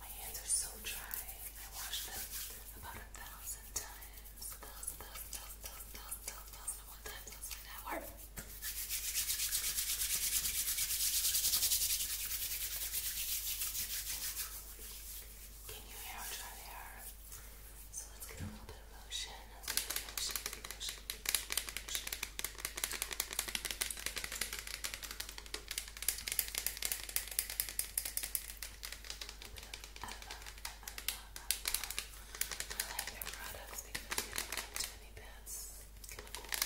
My hands are so dry. I washed them about a thousand times. A thousand, thousand, thousand, thousand, thousand, thousand, thousand, one time, thousand an hour. Can you hear how dry they are? So let's get a little bit of Let's get a motion, motion, motion, motion. I love, I love, I love, I like their products because they don't have too many pets, chemicals.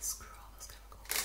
Screw all those chemicals.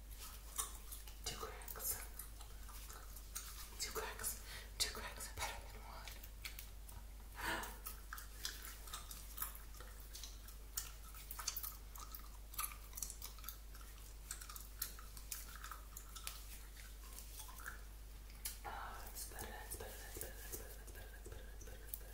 Two cracks. Two cracks. Two cracks are better than one. Oh, that's better, that's better, that's better, that's better, that's better, that's better, that's better, that's better, that's better.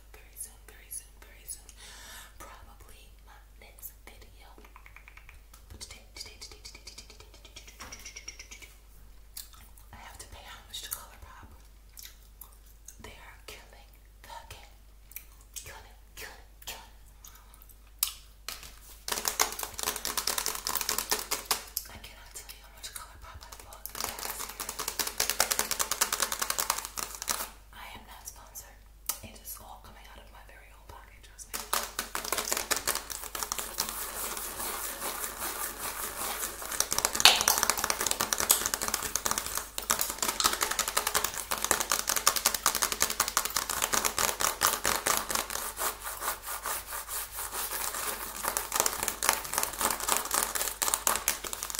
very soon, very soon, very soon. Probably my next video. But today, today, today, today, today, today, today, today, today, today, today. I have to pay homage to Color Pop. They are killing the game. Killing, killing, killing. I cannot tell you how much followed by I am not sponsored. It is all coming out of my very own pocket, trust me.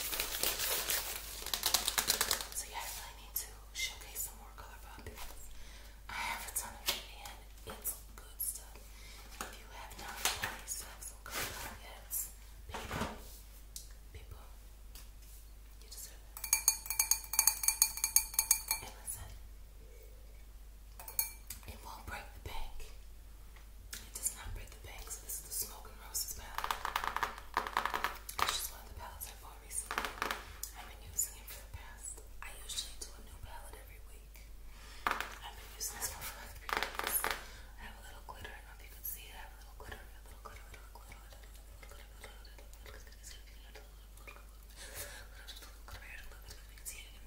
So yeah, I need to showcase some more color I have a ton of it and it's good stuff. If you have not already some color yet, people, people, you deserve it. And listen, it won't break the bank. It does not break the bank, so this is the Smoke and Roses palette. Which is one of the palettes I bought recently. I've been using it for the past. I usually do a new palette every week. I've been using this for like three weeks. I have a little glitter. I know if you can see it. I have a little glitter, a little a little glitter, a little a little glitter, a little a little glitter, a little a little glitter, a little a little glitter, a little a little glitter, a little a little glitter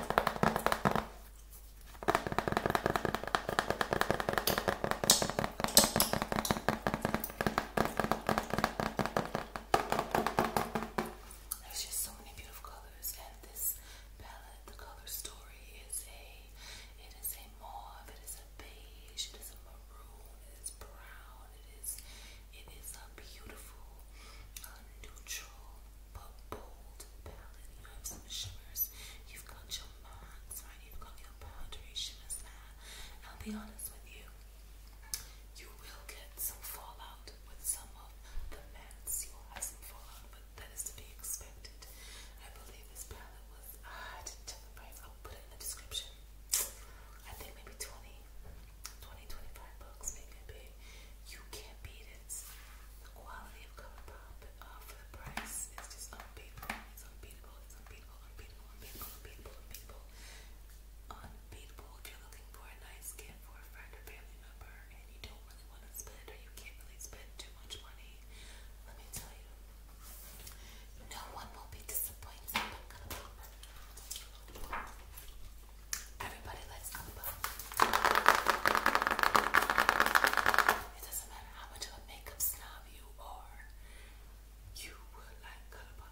There's just so many beautiful colors, and this palette, the color story, is a it is a mauve, it is a beige, it is a maroon, it is brown, it is it is a beautiful, uh, neutral, but bold palette. You have some shimmers. You've got your mattes, You've got your powdery shimmers there. I'll be honest with you. You will get some fallout with some of the mattes. You will have some but that is to be expected. I believe this palette was, I didn't check the price. I'll put it in the description. I think maybe 20 20, bucks, maybe You can't beat it. The quality of Color uh, for the price is just unbeatable. It's unbeatable. It's unbeatable. Unbeatable. Unbeatable. Unbeatable. Unbeatable. Unbeatable. If you're looking for a nice gift for a friend or family member, and you don't really want to spend, or you can't really spend too much money, let me tell you, no one will be disappointed. I'm it. Everybody, let's elbow. It doesn't matter how much of a makeup snob you are, you would like Colourpop.